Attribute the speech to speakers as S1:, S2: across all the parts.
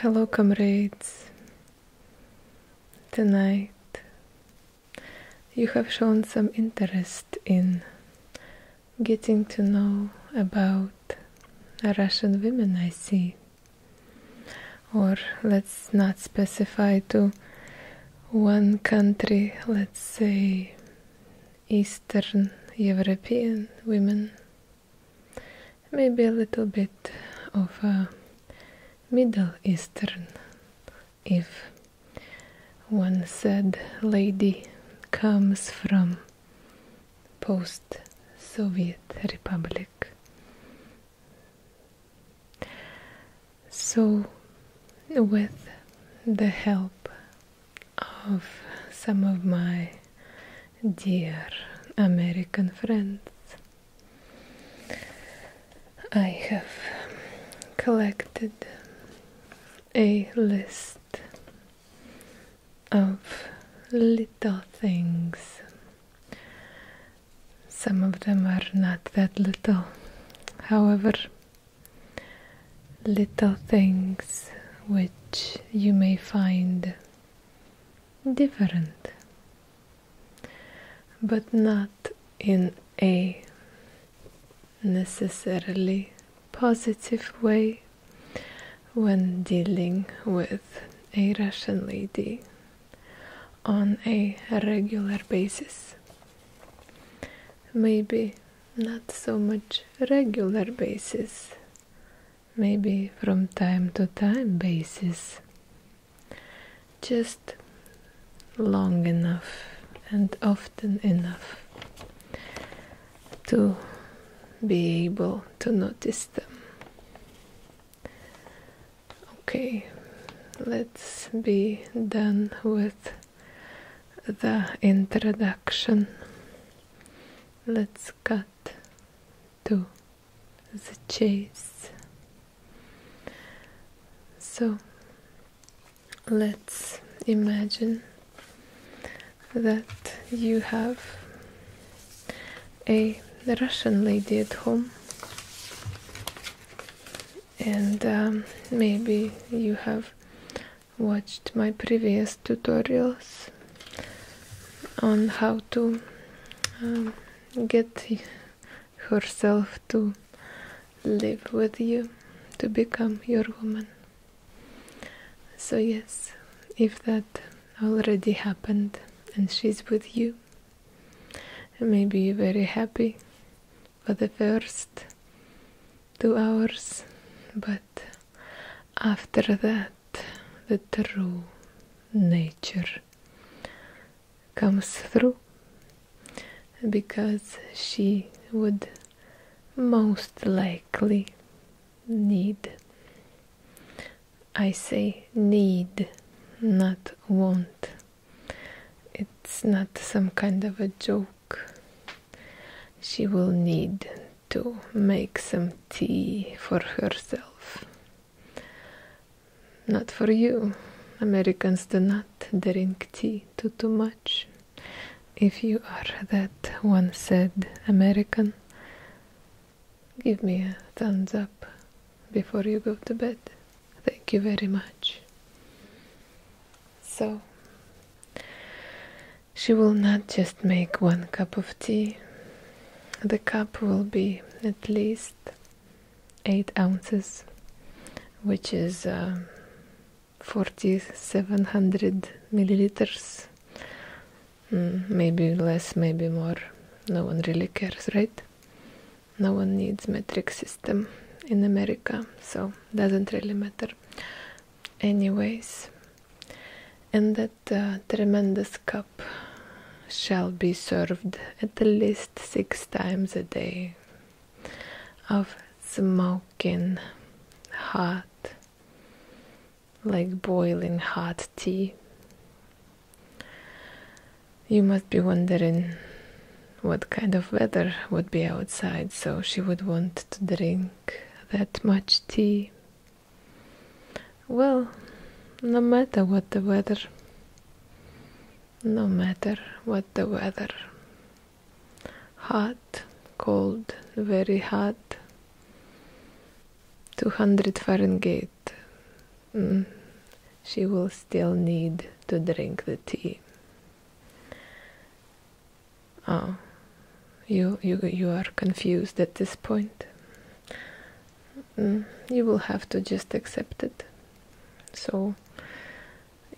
S1: Hello, comrades. Tonight you have shown some interest in getting to know about Russian women, I see or let's not specify to one country, let's say Eastern European women, maybe a little bit of Middle Eastern, if one said lady comes from post-Soviet republic. So, with the help of some of my dear American friends, I have collected a list of little things. Some of them are not that little. However, little things which you may find different, but not in a necessarily positive way, when dealing with a Russian lady on a regular basis. Maybe not so much regular basis, maybe from time to time basis. Just long enough and often enough to be able to notice them. Okay, let's be done with the introduction. Let's cut to the chase. So let's imagine that you have a Russian lady at home, and um, maybe you have watched my previous tutorials on how to um, get herself to live with you, to become your woman. So, yes, if that already happened and she's with you. May be very happy for the first two hours, but after that, the true nature comes through because she would most likely need I say need, not want. It's not some kind of a joke. She will need to make some tea for herself. Not for you. Americans do not drink tea too, too much. If you are that one said American, Give me a thumbs up before you go to bed. Thank you very much. So, she will not just make one cup of tea. The cup will be at least 8 ounces, which is uh, 4700 milliliters Mm, maybe less, maybe more. No one really cares, right? No one needs metric system in America, so doesn't really matter. Anyways, and that uh, tremendous cup shall be served at least six times a day of smoking hot, like boiling hot tea. You must be wondering what kind of weather would be outside, so she would want to drink that much tea. Well, no matter what the weather, no matter what the weather, hot, cold, very hot, 200 Fahrenheit, Mm. She will still need to drink the tea. Oh, you you you are confused at this point. Mm, you will have to just accept it. So,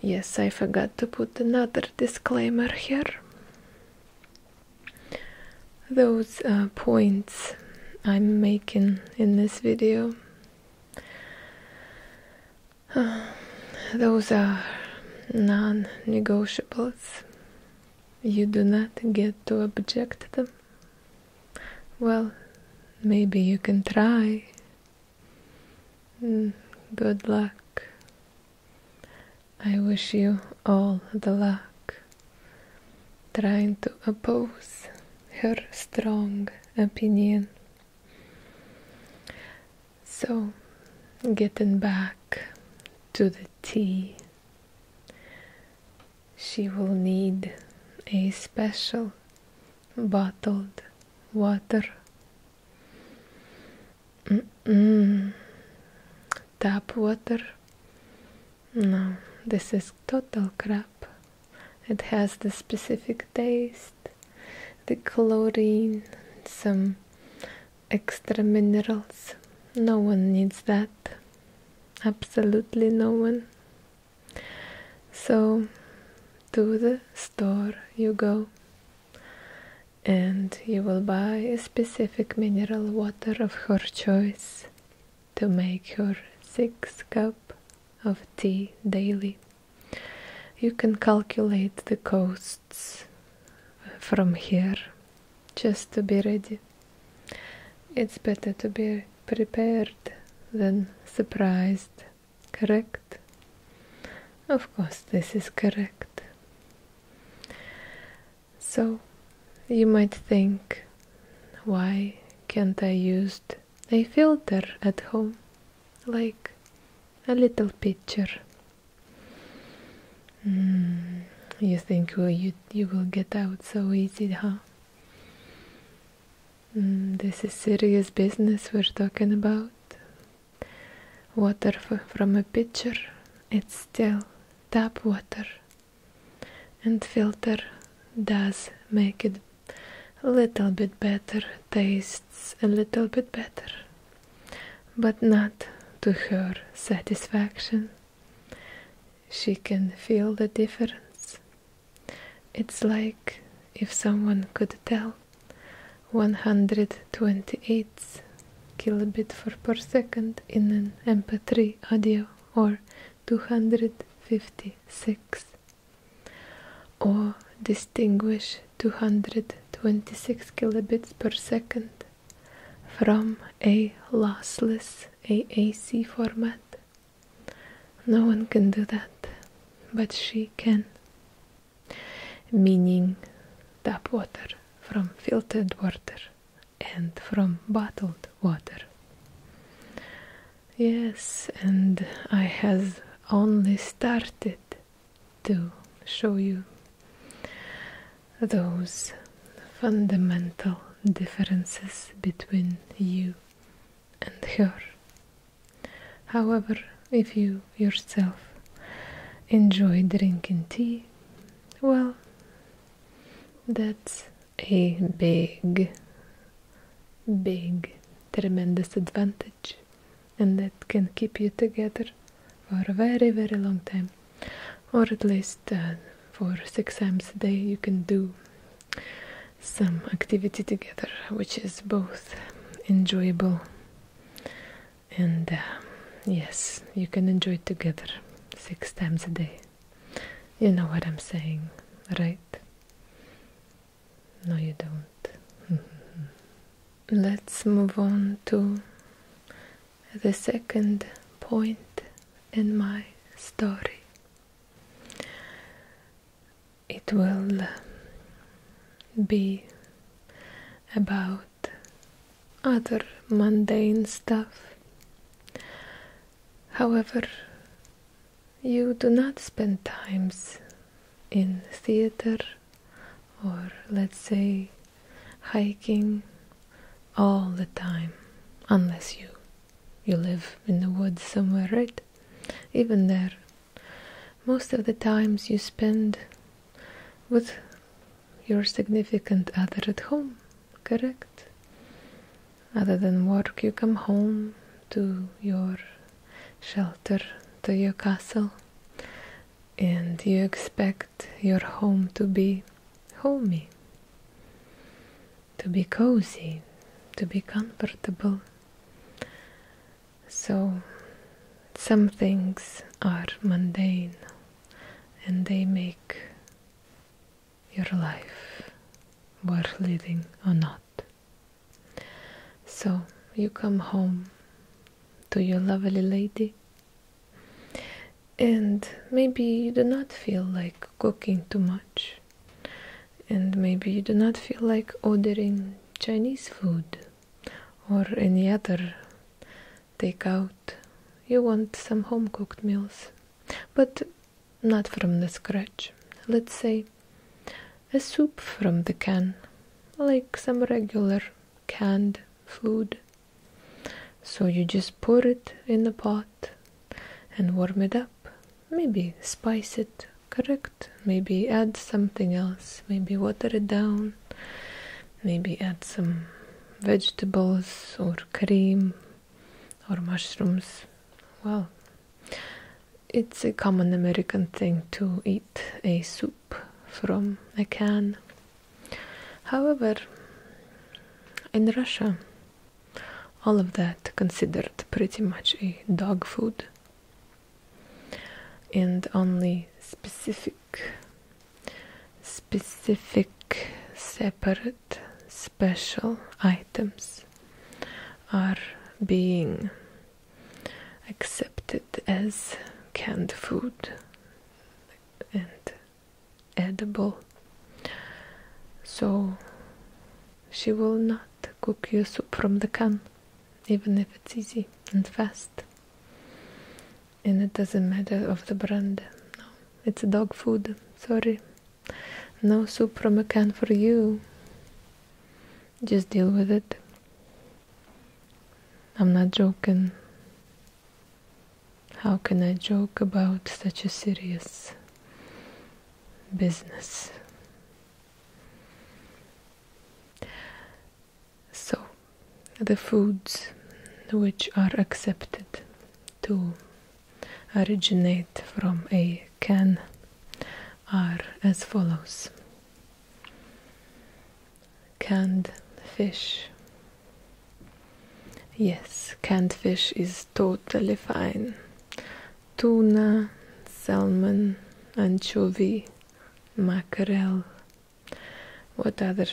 S1: yes, I forgot to put another disclaimer here those uh, points I'm making in this video. those are non negotiables. You do not get to object them. Well, maybe you can try. Hmm, good luck. I wish you all the luck trying to oppose her strong opinion. So, getting back to the tea, she will need a special bottled water. Tap water no, this is total crap. It has the specific taste, the chlorine, some extra minerals. No one needs that. Absolutely no one. So, to the store you go and you will buy a specific mineral water of your choice to make your sixth cup of tea daily. You can calculate the costs from here just to be ready. It's better to be prepared than surprised, correct? Of course, this is correct. So, you might think why can't I use a filter at home? Like a little pitcher? Hmm, you think you, you will get out so easy, huh? Hmm, this is serious business we're talking about. Water from a pitcher, it's still tap water and filter does make it a little bit better tastes a little bit better but not to her satisfaction she can feel the difference it's like if someone could tell 128 kilobits per second in an mp3 audio or 256 or distinguish 226 kilobits per second from a lossless AAC format. No one can do that, but she can. Meaning tap water from filtered water and from bottled water. Yes, and I have only started to show you those fundamental differences between you and her. However, if you yourself enjoy drinking tea, well, that's a big, big, tremendous advantage, and that can keep you together for a very, very long time, or at least uh, for six times a day, you can do some activity together, which is both enjoyable and uh, yes, you can enjoy it together six times a day. You know what I'm saying, right? No, you don't. Let's move on to the second point in my story. It will be about other mundane stuff. However, you do not spend times in theater or let's say hiking all the time unless you you live in the woods somewhere right even there most of the times you spend with your significant other at home correct other than work, you come home to your shelter, to your castle, and you expect your home to be homey, to be cozy, to be comfortable. So, some things are mundane and they make your life worth living or not. So you come home to your lovely lady, and maybe you do not feel like cooking too much, and maybe you do not feel like ordering Chinese food or any other takeout. You want some home cooked meals, but not from the scratch. Let's say a soup from the can, like some regular canned food. So you just pour it in the pot and warm it up. Maybe spice it, correct? Maybe add something else. Maybe water it down. Maybe add some vegetables or cream or mushrooms. Well, it's a common American thing to eat a soup from a can. However, in Russia, all of that considered pretty much a dog food, and only specific, specific, separate, special items are being accepted as canned food and edible. So she will not cook you soup from the can, even if it's easy and fast. And it doesn't matter of the brand. No, it's dog food. Sorry. No supramecan for you. Just deal with it. I'm not joking. How can I joke about such a serious business? So, the foods which are accepted to originate from a can are as follows canned fish yes canned fish is totally fine tuna salmon anchovy mackerel what other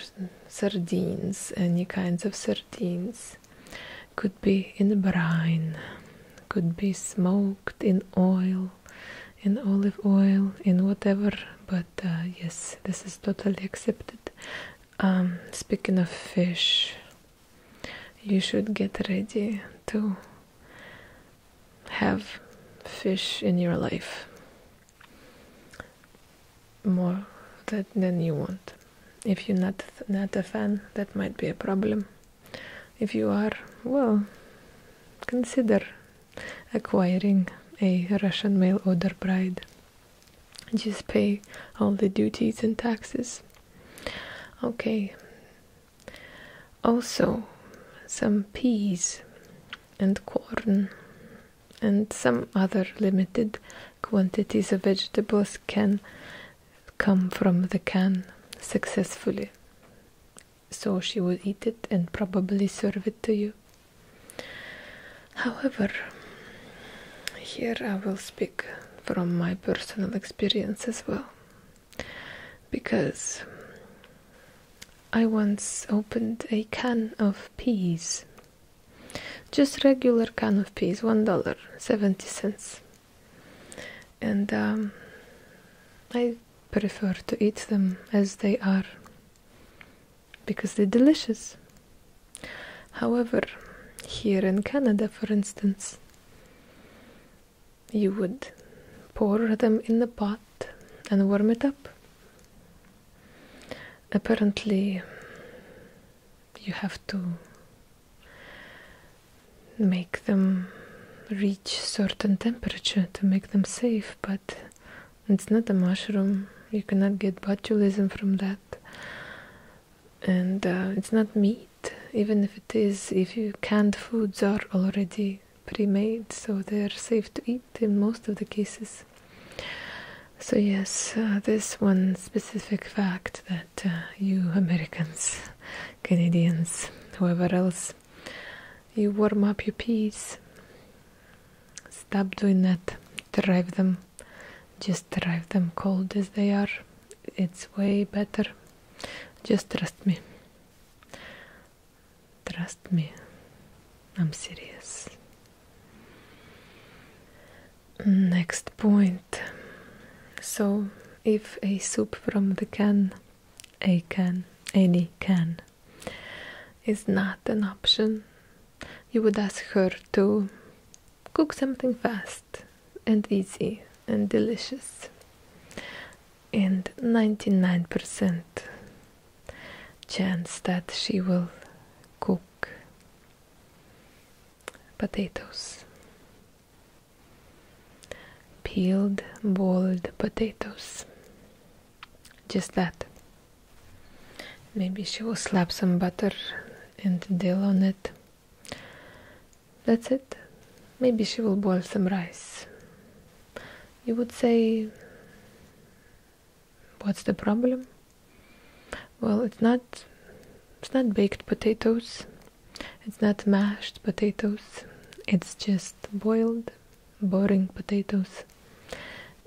S1: sardines any kinds of sardines could be in brine could be smoked in oil, in olive oil, in whatever. But uh, yes, this is totally accepted. Um, speaking of fish, you should get ready to have fish in your life more than you want. If you're not not a fan, that might be a problem if you are, well, consider acquiring a Russian mail order bride. Just pay all the duties and taxes. Okay. Also, some peas and corn and some other limited quantities of vegetables can come from the can successfully. So she will eat it and probably serve it to you. However, here I will speak from my personal experience as well, because I once opened a can of peas, just regular can of peas, one dollar seventy cents, and um, I prefer to eat them as they are because they're delicious. However, here in Canada, for instance, you would pour them in the pot and warm it up. Apparently, you have to make them reach certain temperature to make them safe, but it's not a mushroom. You cannot get botulism from that. And uh, it's not meat, even if it is, if you canned foods are already pre made, so they're safe to eat in most of the cases. So, yes, uh, this one specific fact that uh, you Americans Canadians, whoever else. You warm up your peas. Stop doing that. Drive them. Just drive them cold as they are. It's way better. Just trust me. Trust me. I'm serious. Next point. So, if a soup from the can a can, any can, is not an option. You would ask her to cook something fast and easy and delicious. And 99% chance that she will cook potatoes peeled boiled potatoes. Just that. Maybe she will slap some butter and dill on it. That's it. Maybe she will boil some rice. You would say, what's the problem? Well, it's not it's not baked potatoes. It's not mashed potatoes, it's just boiled, boring potatoes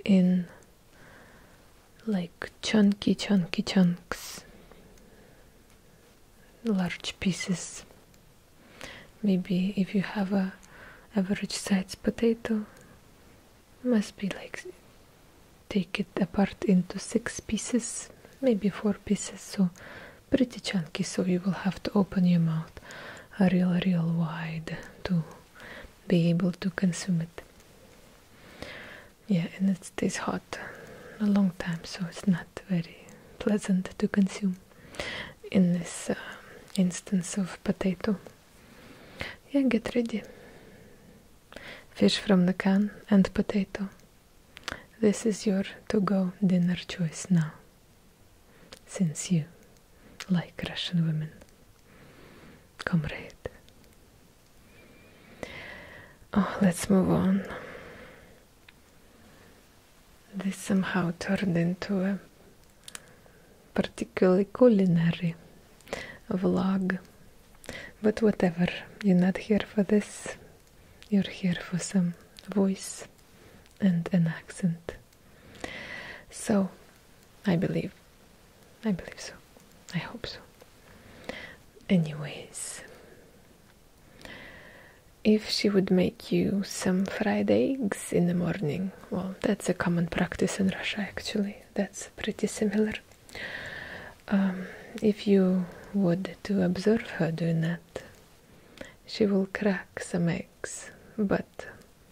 S1: in like chunky, chunky chunks, large pieces. Maybe if you have a average sized potato, must be like take it apart into six pieces, maybe four pieces. So pretty chunky, so you will have to open your mouth real, real wide to be able to consume it. Yeah, and it stays hot a long time, so it's not very pleasant to consume in this uh, instance of potato. Yeah, get ready. Fish from the can and potato. This is your to go dinner choice now since you like Russian women, comrade. Oh, let's move on. This somehow turned into a particularly culinary vlog, but whatever, you're not here for this. You're here for some voice and an accent. So, I believe. I believe so. I hope so. Anyways, if she would make you some fried eggs in the morning, well, that's a common practice in Russia actually. That's pretty similar. Um, if you would to observe her doing that, she will crack some eggs, but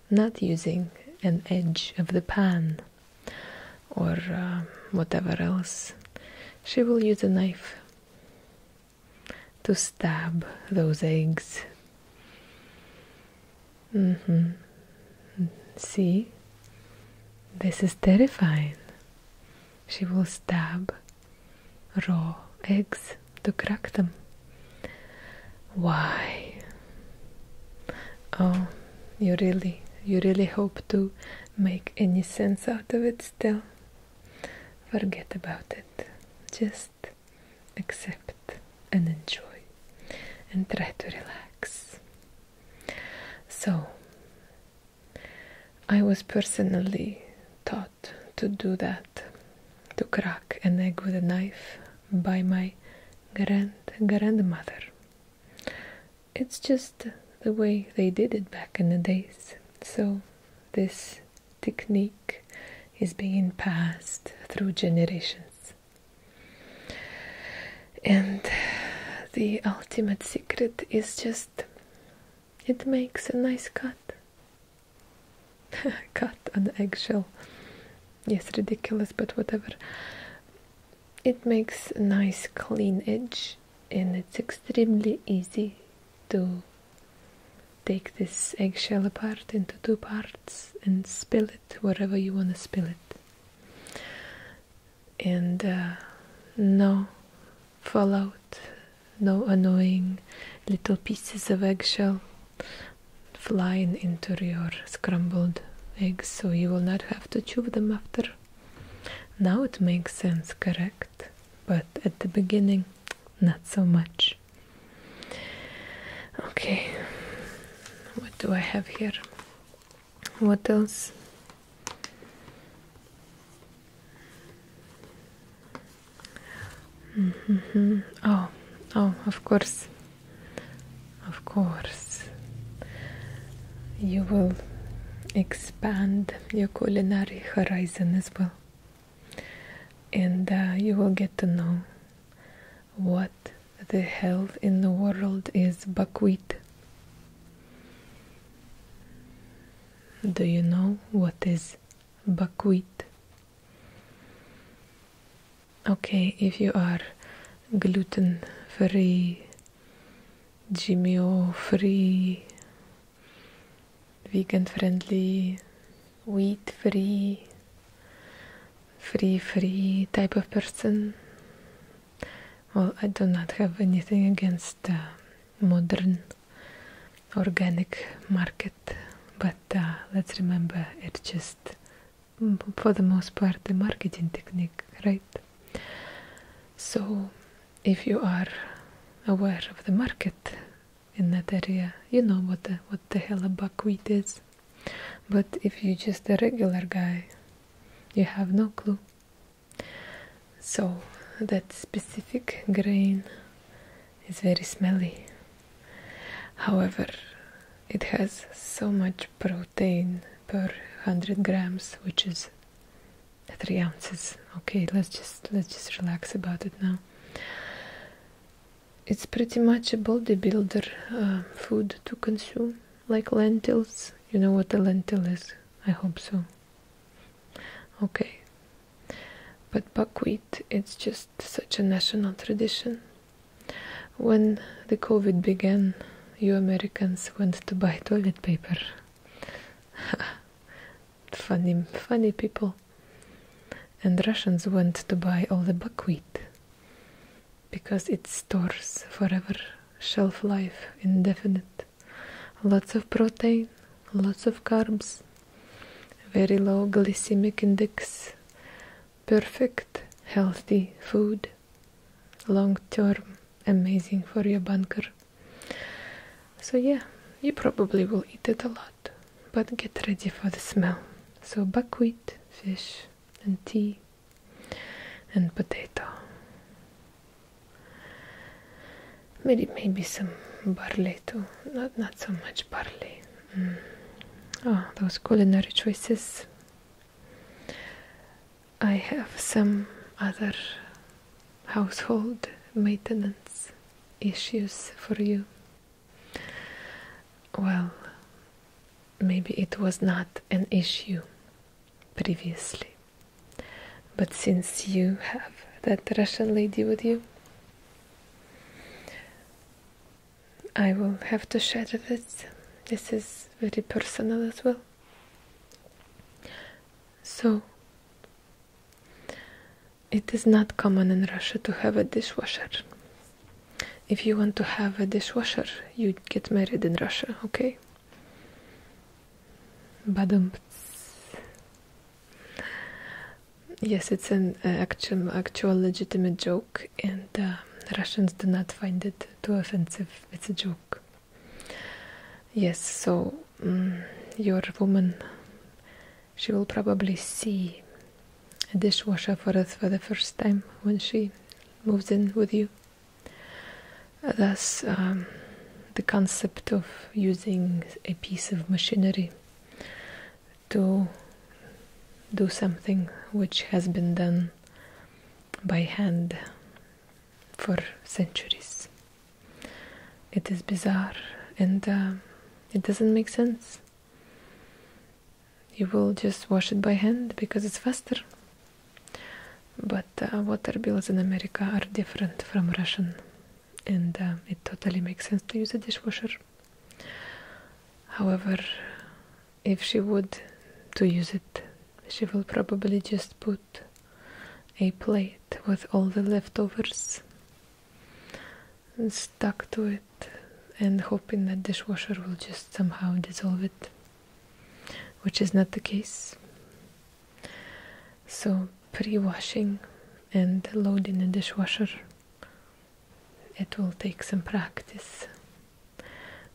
S1: not using an edge of the pan or um, whatever else. She will use a knife to stab those eggs. Mm-hmm. See? This is terrifying. She will stab raw eggs to crack them. Why? Oh, you really, you really hope to make any sense out of it still? Forget about it. Just accept and enjoy and try to relax. So, I was personally taught to do that to crack an egg with a knife by my grand grandmother. It's just the way they did it back in the days. So this technique is being passed through generations. And the ultimate secret is just it makes a nice cut. cut an eggshell. Yes, ridiculous, but whatever. It makes a nice clean edge and it's extremely easy to take this eggshell apart into two parts and spill it wherever you want to spill it. And uh, no fall out. No annoying little pieces of eggshell flying into your scrambled eggs, so you will not have to chew them after. Now it makes sense, correct? But at the beginning, not so much. Okay, what do I have here? What else? Mm-hmm. Oh, oh, of course, of course, you will expand your culinary horizon as well, and uh, you will get to know what the hell in the world is buckwheat. Do you know what is buckwheat? Okay, if you are gluten free, GMO free, vegan friendly, wheat free, free free type of person. Well, I do not have anything against uh, modern organic market but uh, let's remember it's just for the most part the marketing technique right so if you are aware of the market in that area you know what the, what the hell a buckwheat is but if you're just a regular guy you have no clue so that specific grain it's very smelly. However, it has so much protein per 100 grams, which is 3 ounces. Okay, let's just let's just relax about it now. It's pretty much a bodybuilder uh, food to consume, like lentils. You know what a lentil is? I hope so. Okay, but buckwheat, it's just such a national tradition. When the COVID began, you Americans went to buy toilet paper. funny, funny people. And Russians went to buy all the buckwheat because it stores forever, shelf life indefinite. Lots of protein, lots of carbs, very low glycemic index, perfect healthy food, long term amazing for your bunker. So, yeah, you probably will eat it a lot, but get ready for the smell. So, buckwheat, fish, and tea, and potato. Maybe, maybe some barley too. Not, not so much barley. Ah, those culinary choices. I have some other household maintenance issues for you. Well, maybe it was not an issue previously, but since you have that Russian lady with you, I will have to share this. This is very personal as well. So, it is not common in Russia to have a dishwasher. If you want to have a dishwasher, you get married in Russia, okay? Badum. Yes, it's an uh, actual, actual legitimate joke, and uh, Russians do not find it too offensive. It's a joke. Yes, so mm, your woman, she will probably see a dishwasher for us for the first time when she moves in with you. Thus, um, the concept of using a piece of machinery to do something which has been done by hand for centuries. It is bizarre and uh, it doesn't make sense. You will just wash it by hand because it's faster. But uh, water bills in America are different from Russian, and uh, it totally makes sense to use a dishwasher. However, if she would to use it, she will probably just put a plate with all the leftovers stuck to it and hoping that dishwasher will just somehow dissolve it which is not the case so pre-washing and loading the dishwasher it will take some practice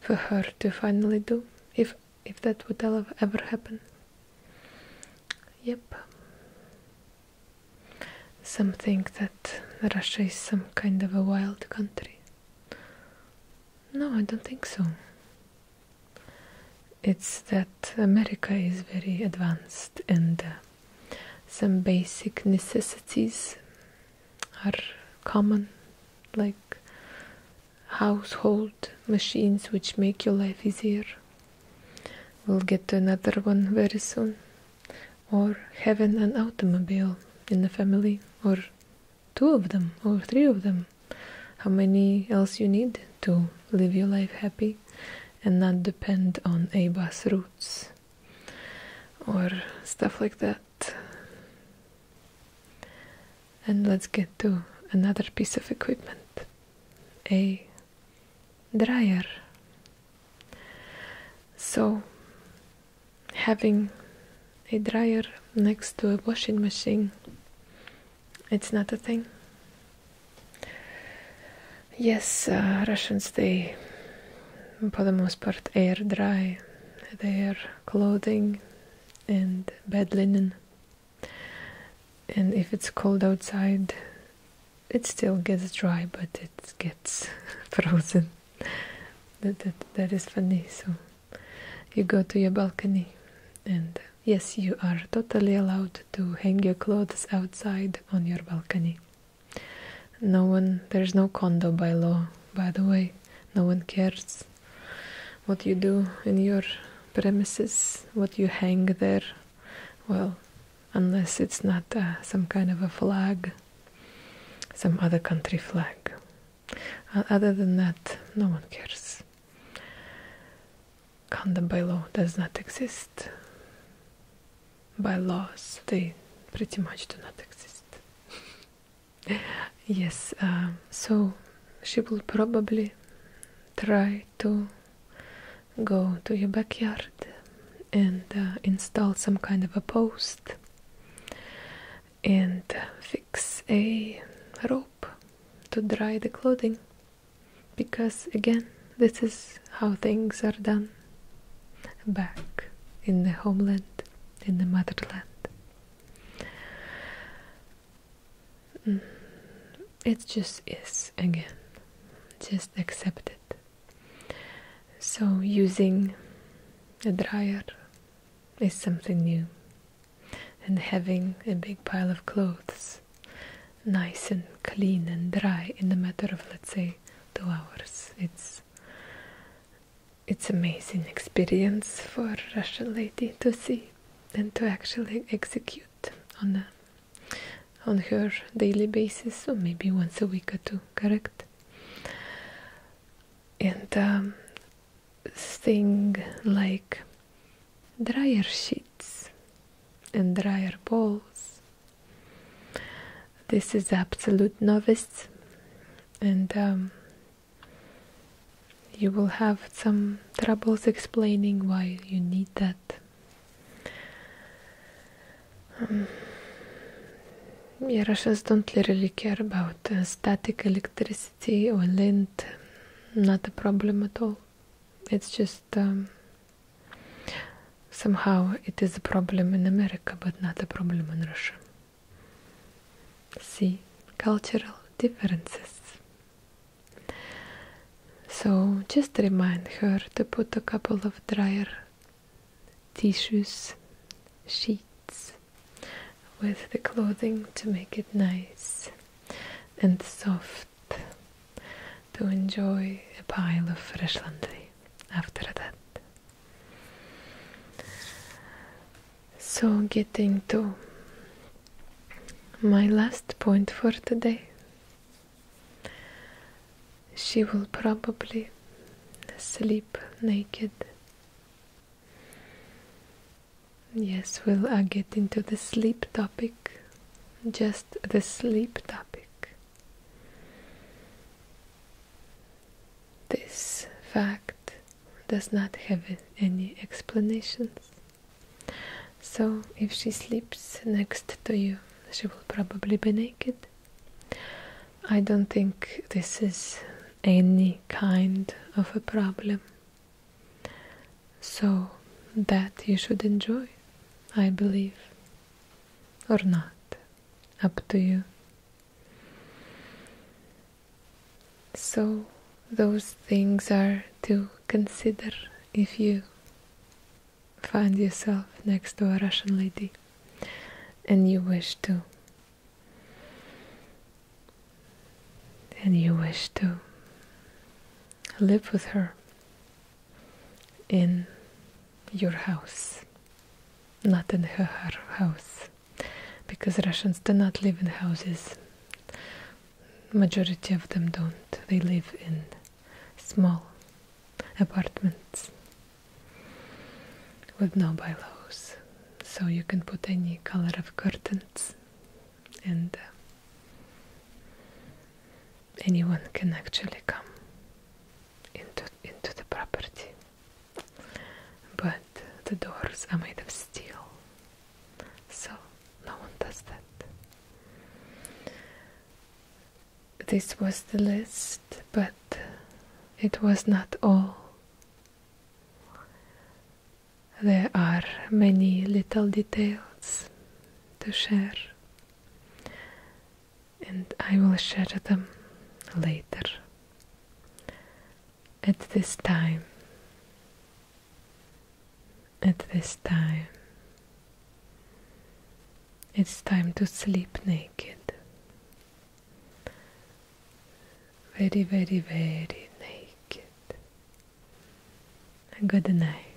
S1: for her to finally do if if that would ever happen yep some think that russia is some kind of a wild country no i don't think so it's that america is very advanced and uh, some basic necessities are common, like household machines which make your life easier. We'll get to another one very soon. Or having an automobile in the family, or two of them, or three of them. How many else you need to live your life happy and not depend on A bus routes? or stuff like that. And let's get to another piece of equipment a dryer. So, having a dryer next to a washing machine, it's not a thing. Yes, uh, Russians, they, for the most part, air dry their clothing and bed linen. And if it's cold outside, it still gets dry, but it gets frozen. That, that, that is funny. So you go to your balcony, and yes, you are totally allowed to hang your clothes outside on your balcony. No one, there's no condo by law, by the way. No one cares what you do in your premises, what you hang there. Well, unless it's not uh, some kind of a flag, some other country flag. Uh, other than that, no one cares. Condo by law does not exist by laws, they pretty much do not exist. yes, um, so she will probably try to go to your backyard and uh, install some kind of a post and uh, fix a rope to dry the clothing because again this is how things are done back in the homeland, in the motherland. Mm. It just is again. Just accept it. So, using a dryer is something new, and having a big pile of clothes nice and clean and dry in the matter of, let's say, two hours, it's because it's amazing experience for a Russian lady to see and to actually execute on on her daily basis or maybe once a week or two, correct? And um, thing like dryer sheets and dryer balls this is absolute novice, and um, you will have some troubles explaining why you need that. Um, yeah, Russians don't really care about uh, static electricity or lint. Not a problem at all. It's just um, Somehow it is a problem in America, but not a problem in Russia. See, cultural differences. So just remind her to put a couple of dryer tissues, sheets with the clothing to make it nice and soft to enjoy a pile of fresh laundry after that. So, getting to my last point for today, she will probably sleep naked. Yes, we'll uh, get into the sleep topic, just the sleep topic. This fact does not have any explanations. So, if she sleeps next to you, she will probably be naked. I don't think this is any kind of a problem. So, that you should enjoy, I believe, or not up to you. So, those things are to consider if you find yourself next to a Russian lady and you wish to. And you wish to live with her in your house, not in her house, because Russians do not live in houses. Majority of them don't. They live in small apartments with no bylaws. So you can put any color of curtains and uh, anyone can actually come into into the property. But the doors are made of steel, so no one does that. This was the list, but it was not all. There are many little details to share and I will share them later at this time at this time it's time to sleep naked very very very naked good night